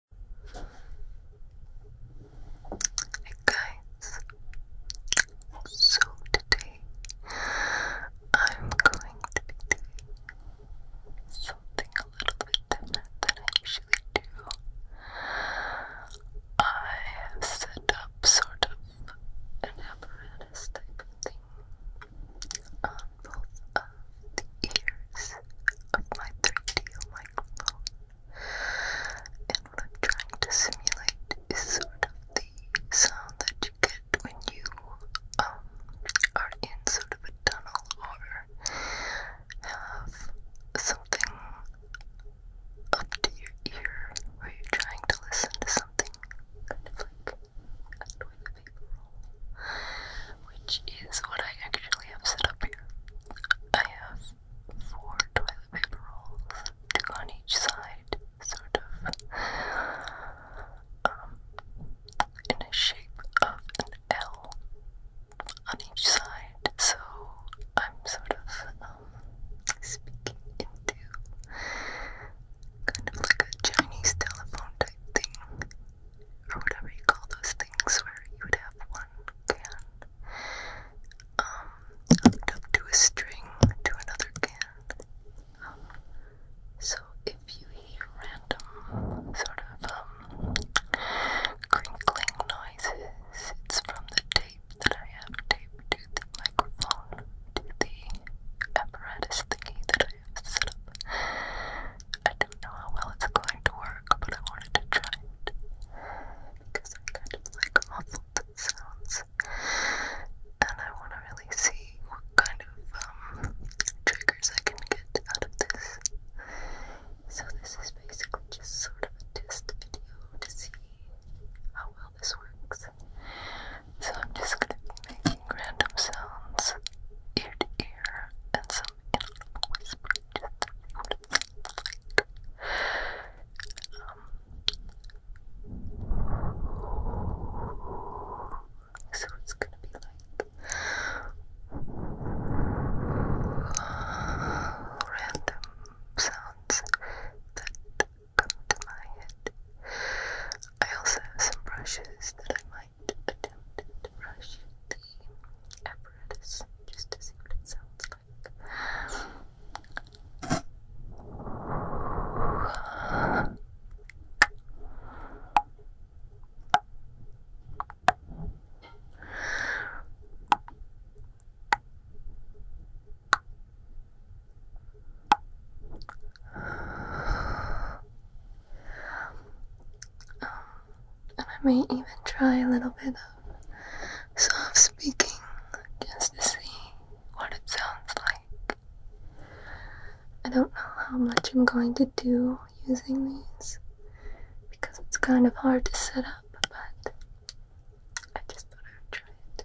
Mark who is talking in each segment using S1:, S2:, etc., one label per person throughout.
S1: Hey guys, so today I'm going to be doing something a little bit different than I usually do. I have set up sort of an apparatus type of thing the ears of my 3DO microphone. And what I'm trying to simulate is sort of the sound that you get when you um, are in sort of a tunnel or have something up to your ear where you're trying to listen to something kind of like a toilet paper roll which is what I actually have set up here. I have four toilet paper rolls, two on each side, sort of, um, in a shape of an L on each side, so I'm sort of um, speaking into kind of like a Chinese telephone type thing or whatever you call those things where you would have one can um, hooked to a string to another can. so if you hear random sort of um, crinkling noises, it's from the tape that I have taped to the microphone, to the apparatus thingy that I set up. I don't know how well it's going to work, but I wanted to try it because I like muffled sounds, and I want to really see what kind of um, triggers I can get out of this. So this is basically just sort of a test video to see how well this works. So I'm just gonna be making random sounds ear to ear and some so it's gonna be like random sounds that come to my head. I also have some brushes that I might attempted to brush the apparatus just to see what it sounds like and I may even try a little bit of soft speaking just to see what it sounds like. I don't know how much I'm going to do using these because it's kind of hard to set up, but I just thought I would try it.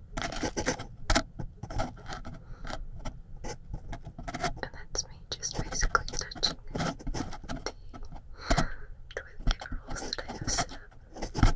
S1: And that's me just basically touching the toilet paper rolls that I have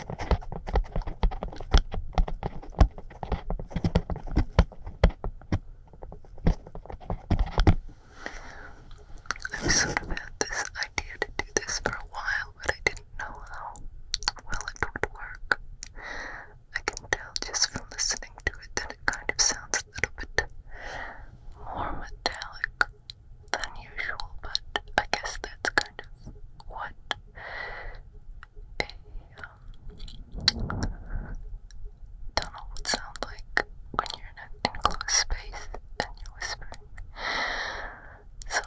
S1: I've sort of had this idea to do this for a while, but I didn't know how well it would work. I can tell just from listening to it that it kind of sounds a little bit more metallic than usual, but I guess that's kind of what a um, do sound like when you're in an enclosed space and you're whispering. So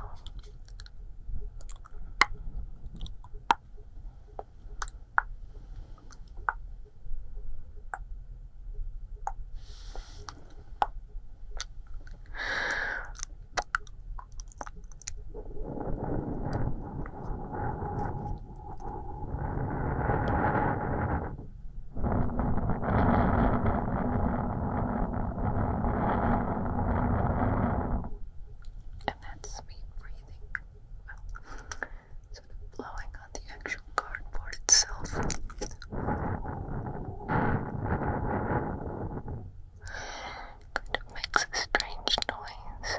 S1: and that's me breathing. Well, sort of blowing on the actual cardboard itself. It makes a strange noise.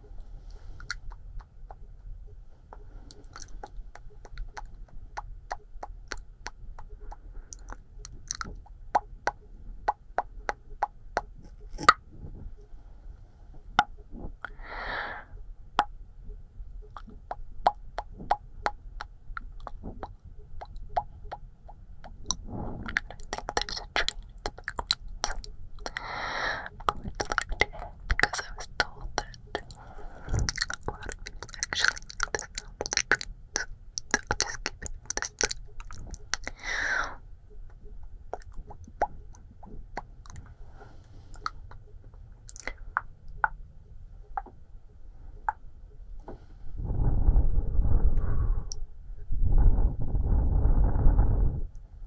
S1: I think there's a train I was late because I was told that a lot of people actually like the sound of the beats. So I'll just keep it this time. Thank you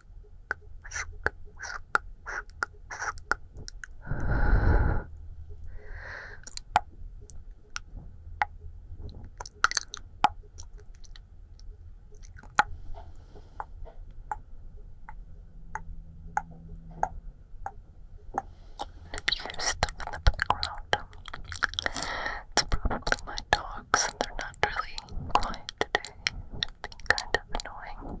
S1: And if you hear stuff in the background, it's probably my dogs they're not really quiet today kind of annoying.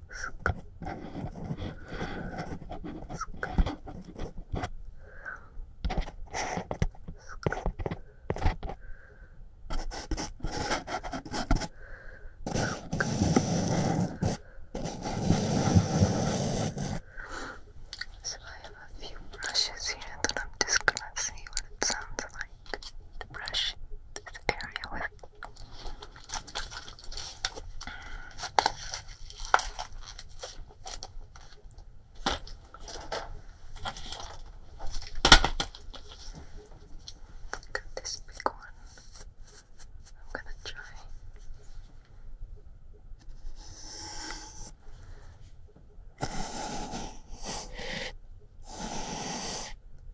S1: So I have a few brushes here that I'm just gonna see what it sounds like to brush this area with. Look at this big one. I'm gonna try.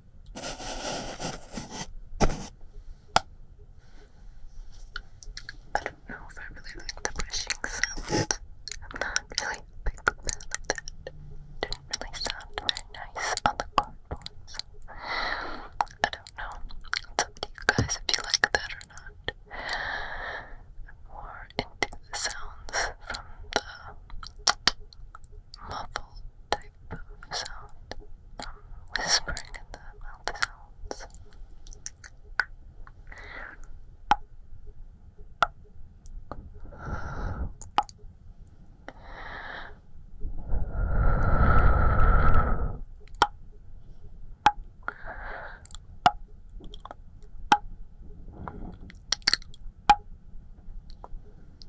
S1: I don't know if I really like the brushing sound. I'm not really big fan of that. Didn't really sound very nice on the cardboard, I don't know. It's up guys if you like that or not. more into sounds from the muffled type sound um, whispering in the mouth sounds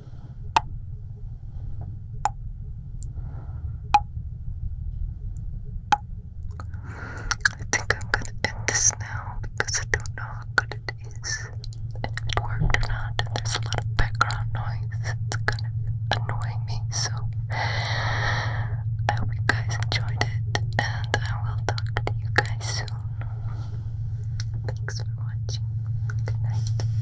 S1: I think I'm gonna end this now because I don't know how good it is if it worked or not. there's a lot of background noise that's kind of annoying me. So I hope you guys enjoyed it, and I will talk to you guys soon. Thanks for watching. Good night.